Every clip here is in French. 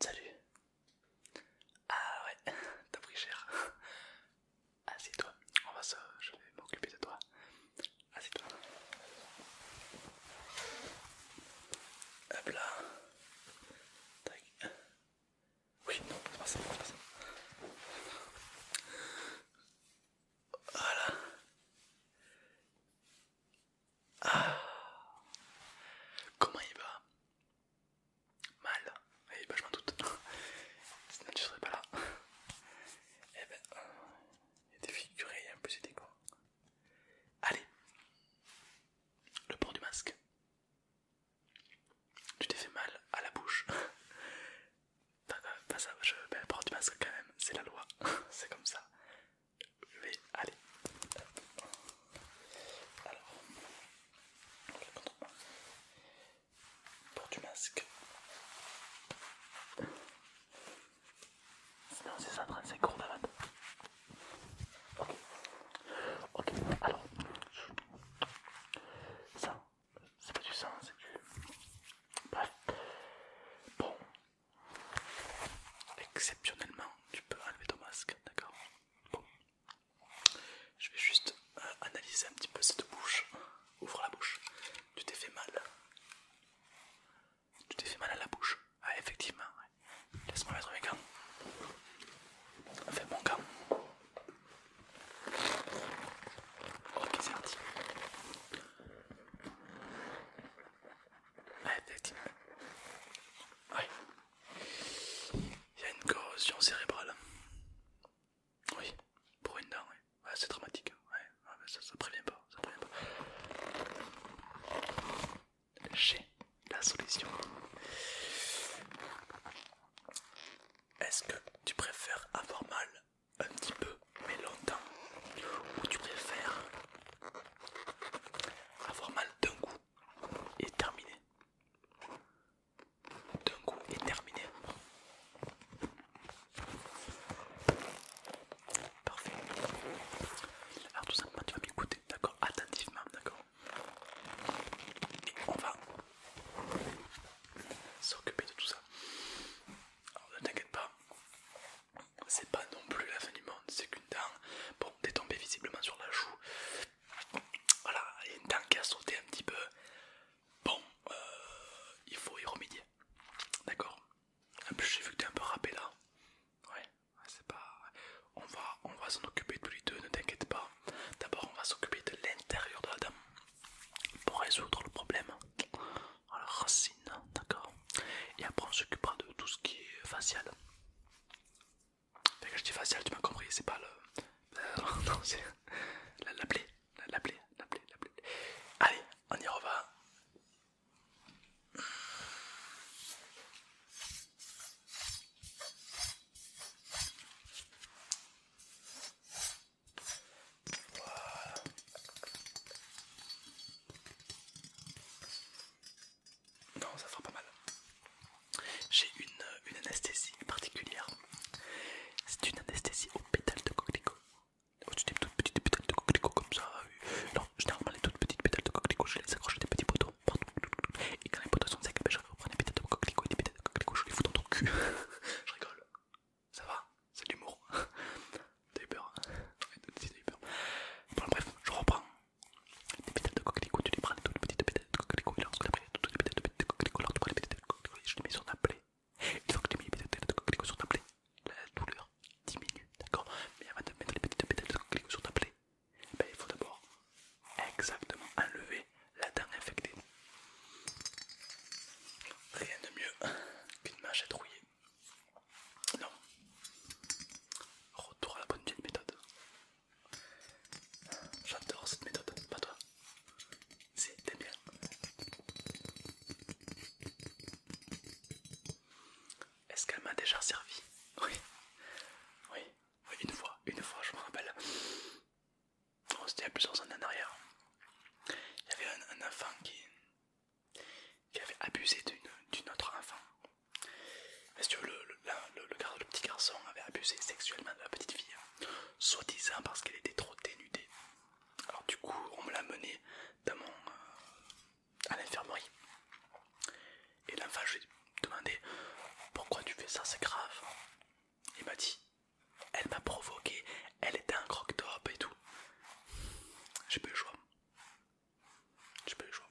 Salut. Ah ouais, t'as pris cher. Assieds-toi, on va se... je vais m'occuper de toi. Assieds-toi. Hop là. Tac. Oui, non, ça, c'est pas ça. Voilà. Ah. Comment il va Mal. Eh ben, je m'en doute. Sinon tu serais pas là. Eh ben, il est défiguré, il a un peu c'était quoi. Allez. Le port du masque. Tu t'es fait mal à la bouche. Pas ça, je, vais le port du masque quand même, c'est la loi. c'est comme ça. Je vais aller. alors pour du masque, sinon c'est ça, 35 euros d'avant. Ok, ok, alors ça, c'est pas du sang, c'est du. Bref, bon, Exceptionnellement, tu peux enlever ton masque, d'accord Bon. Je vais juste euh, analyser un petit peu cette bouche. Ouvre la bouche. Tu t'es fait mal. Tu t'es fait mal à la bouche. Ah, effectivement, Laisse-moi mettre mes gants. Enfin, mon gant. Ok, c'est parti. Ouais, Il y a une corrosion cérébrale. Oui, pour une dent, Ouais, c'est dramatique. Hein. Ouais, ah, ça, ça prévient pas. J'ai la solution. Est-ce que tu préfères avoir mal un petit peu mais longtemps ou tu préfères avoir mal d'un coup est terminé. D'un coup est terminé. Parfait. Alors tout simplement tu vas m'écouter, d'accord Attentivement, d'accord Et on va s'occuper de tout ça. ne t'inquiète pas, c'est pas non plus la fin du monde, c'est qu'une dent, bon, t'es tombé visiblement sur la joue. Voilà, il y a une dent qui a sauté un petit peu. Bon, euh, il faut y remédier. D'accord En plus, j'ai vu que t'es un peu râpé là. Ouais, c'est pas. On va, on va s'en occuper tous les deux, ne t'inquiète pas. D'abord, on va s'occuper de l'intérieur de la dent pour résoudre le problème. Alors, d'accord Et après on s'occupera de tout ce qui est facial. Quand je dis facial, tu m'as compris, c'est pas le... Euh, non, c'est la, la la, blé, la blé Allez, on y revient. Non, ça fera pas mal. J'ai une, euh, anesthésie particulière. C'est une anesthésie aux pétales de coquelicot. Oh, Au-dessus toutes petites pétales de coquelicot comme ça. Euh, non, généralement les toutes petites pétales de coquelicot, je les accroche des petits poteaux. Et quand les poteaux sont secs, eh ben, je reprends des pétales de coquelicot et des pétales de coquelicot, je les fous dans ton cul. je rigole. Ça va C'est de l'humour. Hein? T'as eu peur Bon, bref, je reprends des pétales de tu prends, toutes les pétales de pétales de coquelicot, mets sur ta plaie. Une fois que tu les pétales de sur ta plaie, la douleur diminue, d'accord Mais avant de mettre les petites pétales de coquelicot sur ta plaie, ben, il faut d'abord exactement enlever la dent infectée. Rien de mieux qu'une mâche rouillée non. Retour à la bonne vieille méthode. J'adore cette méthode, pas toi. Si, t'aimes bien. Est-ce qu'elle m'a déjà servi Oui. Oui. une fois, une fois, je me rappelle. c'était il y a plusieurs années en arrière. Il y avait un enfant qui, qui avait abusé d'une autre enfant. Monsieur, le, le, le, petit garçon avait abusé sexuellement de la petite fille, soi-disant parce qu'elle était trop dénudée. Alors du coup, on me l'a mené dans mon, euh, à l'infirmerie. Et l'enfant, je lui ai demandé pourquoi tu fais ça, c'est grave. Il m'a dit, elle m'a provoqué, elle était un croque-top et tout. J'ai pas eu le choix. J'ai pas eu le choix.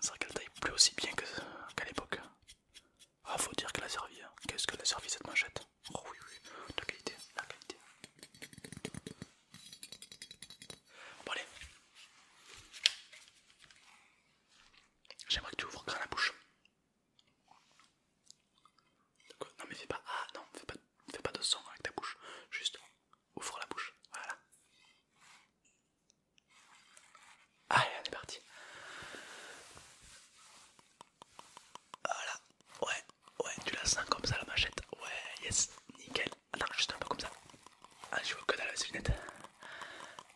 C'est vrai qu'elle taille plus aussi bien qu'à l'époque. Ah, faut dire qu'elle a servi. Hein. Qu'est-ce que a servi cette manchette oh oui, oui, la qualité, la qualité. Bon, allez. J'aimerais que tu ouvres grand la bouche. Non, mais pas. Ah, non, fais pas, fais pas de son avec ta bouche. Juste ouvre la bouche. Voilà. Allez, on est parti. Voilà, ouais, ouais, tu la sens comme ça la machette. Ouais, yes, nickel. Attends, juste un peu comme ça. Ah, je vois que dans la lunette.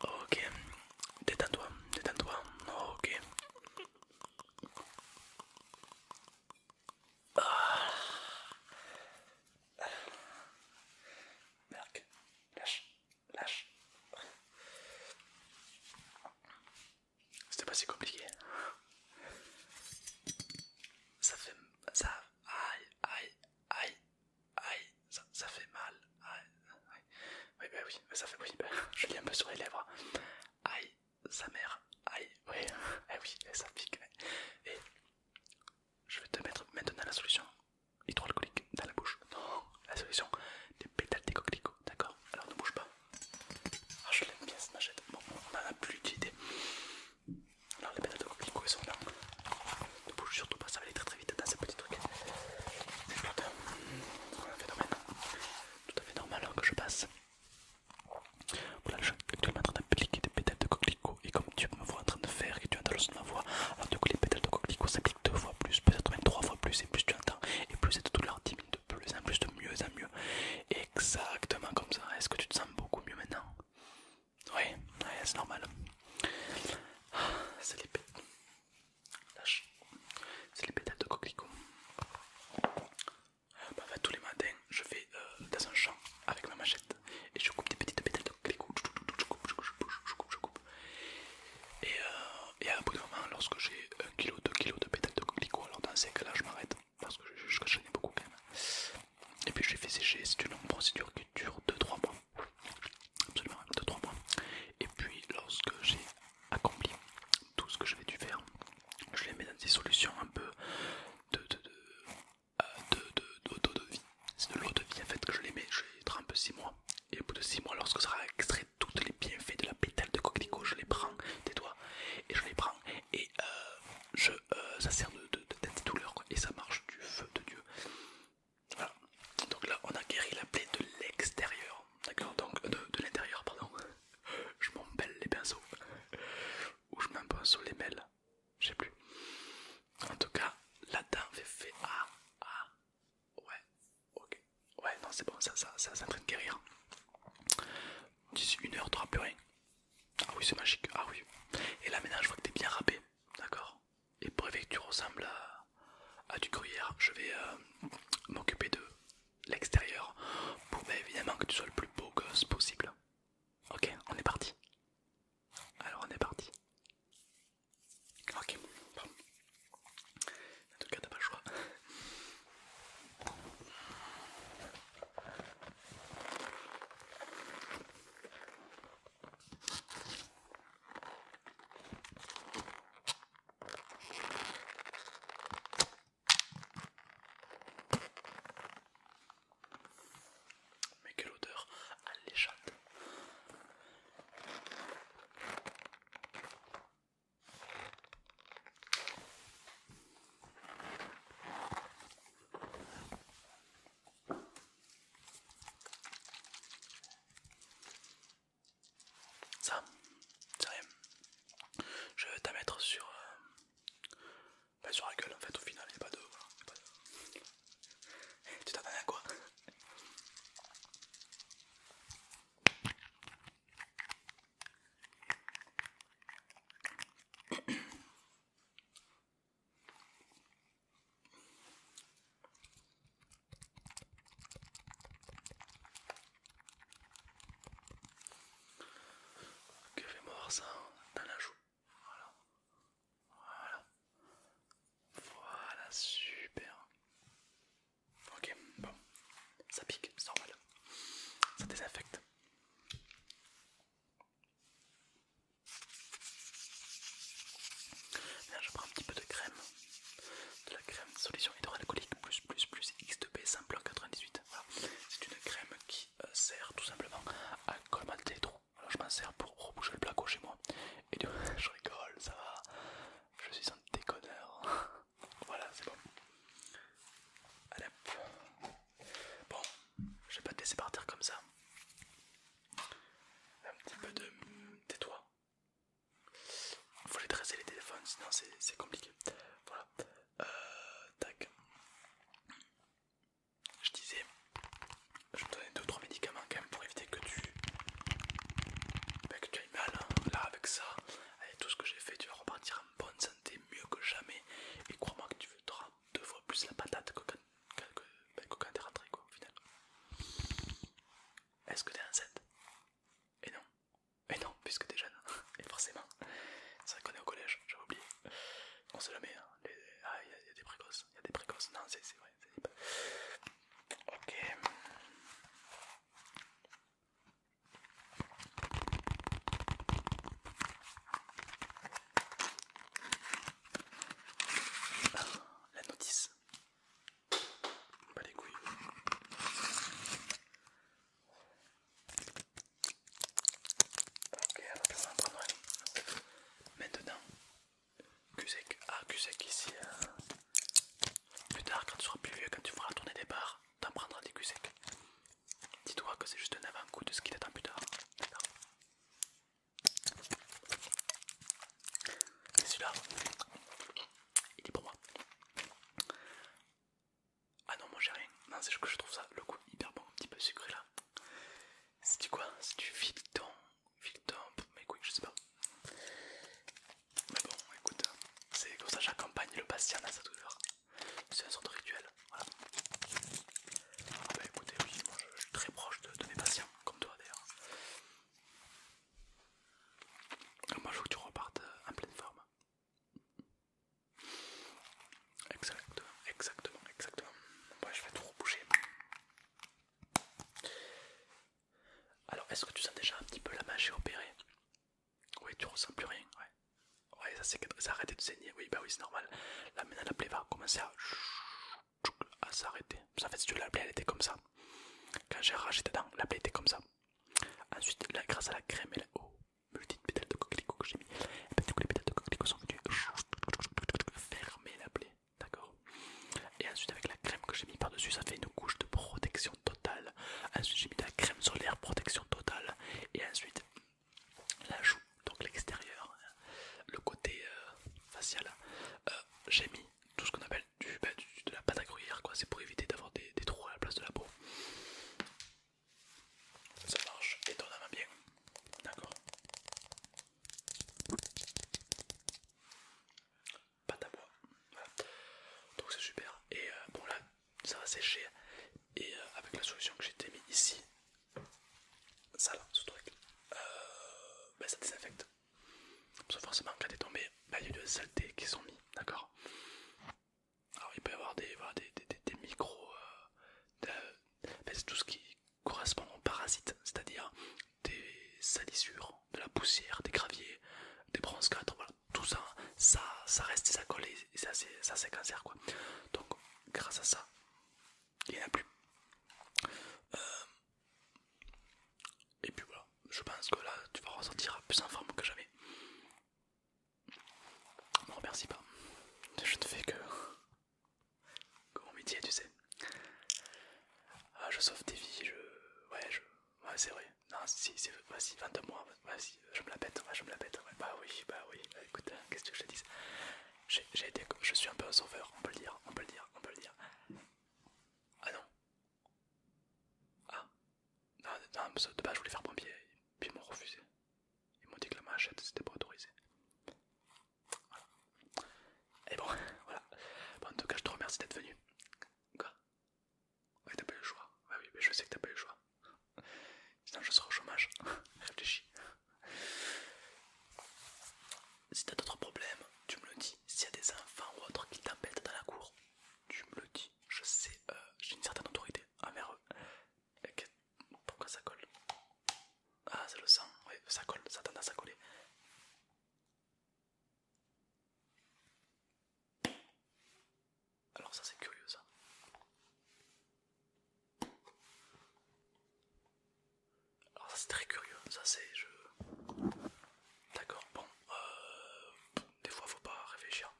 Ok, détends-toi, détends-toi. Ok. Merde lâche, lâche. C'était pas si compliqué. Ça fait. Ça. Aïe, aïe, aïe, aïe. Ça, fait mal. Aïe, Oui, bah oui, ça fait. Oui, bah, je lis un peu sur les lèvres. Aïe, sa mère. Aïe, oui, eh oui, ça pique. Et je vais te mettre maintenant la solution hydroalcoolique dans la bouche. Non, la solution, des pétales de coquelicots, d'accord Alors ne bouge pas. Ah, je l'aime bien cette machette. Bon, on en a plus d'idée. Alors les pétales de coquelicots, ils sont là. Ne bouge surtout pas, ça va aller très très vite dans ces petit truc C'est un phénomène tout à fait normal Alors hein, que je passe. Voilà, je suis actuellement en train d'appliquer des pétales de coquelicots et comme tu me vois en train de faire, que tu entends le son de ma voix, alors du coup les pétales de coquelicot s'appliquent deux fois plus, peut-être même trois fois plus, et plus tu entends, et plus c'est tout leur de plus en plus, de mieux en mieux. Exactement comme ça. Est-ce que tu te sens beaucoup mieux maintenant Oui, c'est normal. Ah, c'est les pétales. C'est les pétales de coquelicot. Euh, bah, tous les matins, je vais euh, dans un champ avec ma machette et je coupe des petites pétales de je coupe, je coupe, je coupe, je coupe, je coupe. Et, euh, et à un bout de moment, lorsque j'ai 1 kg, 2 kg de pétales de coquelicot, alors dans ces cas-là, je m'arrête parce que je, je, je beaucoup quand même. Et puis je l'ai fait sécher, c'est une longue procédure qui dure 2-3 mois. Absolument, 2-3 mois. Et puis lorsque j'ai accompli tout ce que je dû faire, je les mets dans des solutions un peu de, de, de, de, vie. C'est de l'eau de vie en fait que je les mets, je les trempe 6 mois. Et au bout de 6 mois, lorsque sera extrait toutes les bienfaits de la pétale de coquelicot, je les prends des doigts et je les prends et euh, je, euh, ça sert de de, de, douleur et ça marche du feu de Dieu. Voilà, donc là on a guéri la plaie de l'extérieur, d'accord Donc euh, de, l'intérieur, pardon. Je m'embelle les pinceaux ou je pinceau les mêles. Je sais plus. En tout cas, la dent fait Ah, ah. Ouais, ok. Ouais, non, c'est bon, ça, ça, ça, en train de guérir. D'ici une heure, t'auras plus rien. Ah oui, c'est magique. Ah oui. Et là, maintenant, je vois que t'es bien râpé. D'accord Et pour éviter que tu ressembles à, du gruyère, je vais euh, m'occuper de l'extérieur pour bah, évidemment que tu sois le plus beau gosse possible. Ok, on est parti. Alors, on est parti. Ok, En tout cas, pas le choix. Mais quelle odeur alléchante! Ça, sérieux, je vais t'en mettre euh, ben, sur, la gueule en fait. Au final, il n'y a pas de tu t'attendais à quoi Que fait voir ça dans hein? la joue voilà. Voilà, super. Ok, bon. Ça pique, c'est normal. Ça désaffecte. je prends un petit peu de crème. De la crème solution hydroalcoolique plus plus plus X2B simple 98. C'est une crème qui euh, sert tout simplement à colmater les je m'en sers pour reboucher le placo chez moi. Et du... je rigole, ça va. Je suis un déconneur. voilà, c'est bon. Allez, bon, je vais pas te laisser partir comme ça. Un petit peu de. tais-toi. Faut les dresser les téléphones, sinon c'est compliqué. Voilà. Euh, tac. Je disais, je vais te donner 2 3 médicaments quand même pour éviter que tu, bah, ailles mal. Hein. Là, avec ça, avec tout ce que j'ai fait, tu vas repartir en bonne santé, mieux que jamais. Et crois-moi que tu voudras deux fois plus la patate que quand, bah, rentré, au final. Est-ce que t'es enceinte Et non. Et non, puisque t'es jeune. Et forcément. ça vrai qu'on est au collège, j'avais oublié. On sait jamais, hein. ah, il y, a des précoces, il y a des précoces. Non, c'est vrai, Philippe. Ok. Ah, la notice. Pas les couilles. Ok, alors on va prendre Maintenant, Cusec, ah Cusec ici. Hein. Plus tard, quand tu seras plus vieux, quand tu feras tourner des bars, t'en prendras des Cusec. Dis-toi que c'est juste un avant-goût de ce qui t'attend hein. plus tard. C'est celui-là, il est pour moi. Ah non, moi j'ai rien. Non, c'est que je trouve ça le goût hyper bon, un petit peu sucré là. C'est du quoi C'est du fileton Victor, mais queen, je sais pas. Mais bon, écoute, c'est comme ça j'accompagne le patient à sa douleur. C'est un sort de rituel. Voilà. Ah bah écoutez, oui, moi je, suis très proche de, mes patients, comme toi d'ailleurs. Ah, moi je veux que tu repartes euh, en pleine forme. Exactement, exactement, exactement. je vais tout reboucher. Alors, est-ce que tu sens déjà un petit peu la magie opérée Oui, tu ressens plus rien, oui ça c'est arrêté de saigner. Oui, bah oui, c'est normal. Là, maintenant, la plaie va commencer à, s'arrêter. Ça fait, si tu veux, la plaie, elle était comme ça. Quand j'ai racheté ta dent, la plaie était comme ça. Ensuite, grâce à la crème et la eau, oh, multi pétales de coquelicot que j'ai mis, eh ben, les pétales de coquelicot sont venus fermer la plaie d'accord Et ensuite avec la crème que j'ai mis par-dessus, ça fait une couche de protection totale. Ensuite j'ai mis de la crème solaire, protection totale. Et ensuite la joue, donc l'extérieur, hein, le côté euh, facial, euh, j'ai mis tout ce qu'on appelle bah, du, de la pâte à gruyère, quoi. C'est pour éviter d'avoir des, des trous à la place de la peau. Ça marche étonnamment bien, d'accord pas d'avoir Donc c'est super. Et euh, bon là, ça va sécher. Et euh, avec la solution que j'ai mis ici, ça là, ce truc, euh, ben, ça désinfecte. Parce que forcément, quand t'es tombé, bah, il y a des saletés qui sont mis, d'accord Alors il peut y avoir des, des, micros, euh, ben, c'est tout ce qui correspond aux parasites, c'est-à-dire des salissures, de la poussière, des graviers, des bronzes 4, voilà, tout ça, ça, ça reste, ça colle et ça c'est cancer quoi. Donc grâce à ça, il n'y en a plus. Euh, et puis voilà, je pense que là tu vas ressentir plus en forme que jamais. Ne remercie pas, je ne fais que, que mon métier, tu sais. Ah, je sauve des vies, je. Ouais, je. Ouais, c'est vrai. Non, si, c'est. Vas-y, 22 mois, vas-y, je me la pète, je me la pète. bah oui, bah oui. Bah, écoute, hein, qu'est-ce que je te dis, J'ai été. Je suis un peu un sauveur, on peut le dire, on peut le dire, on peut le dire. Ah non. Ah. Non, non, de base, je voulais faire pompier, puis ils m'ont refusé. Ils m'ont dit que la machette, c'était pas autorisé. Voilà. Et bon, voilà. en tout cas, je te remercie d'être venu. Quoi Ouais, t'as pas le choix. Bah oui, mais je sais que t'as pas eu le choix. Sinon, je serai au chômage. Réfléchis. Si t'as d'autres problèmes, tu me le dis. S'il y a des enfants ou autres qui t'embêtent dans la cour, tu me le dis. Je sais, euh, j'ai une certaine autorité envers eux. Pourquoi ça colle Ah, c'est le sang. Oui, ça colle, ça tend à coller. Alors ça c'est curieux ça. Alors ça c'est très curieux, ça c'est je... D'accord, bon, euh, des fois faut pas réfléchir.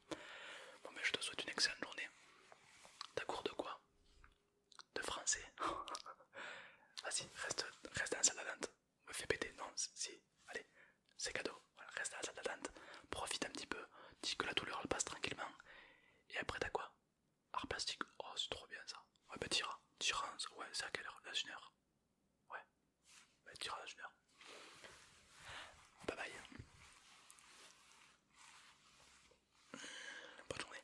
Bon mais je te souhaite une excellente journée. D'accord de quoi De français Vas-y, reste, reste dans salle me fais péter, non, si, allez, c'est cadeau, reste à la salle d'attente, profite un petit peu, dis que la douleur elle passe tranquillement, et après t'as quoi Art plastique, oh c'est trop bien ça, ouais bah tira rans ouais c'est à quelle heure la une heure Ouais, bah tira la heure. Bye bye. Bonne journée.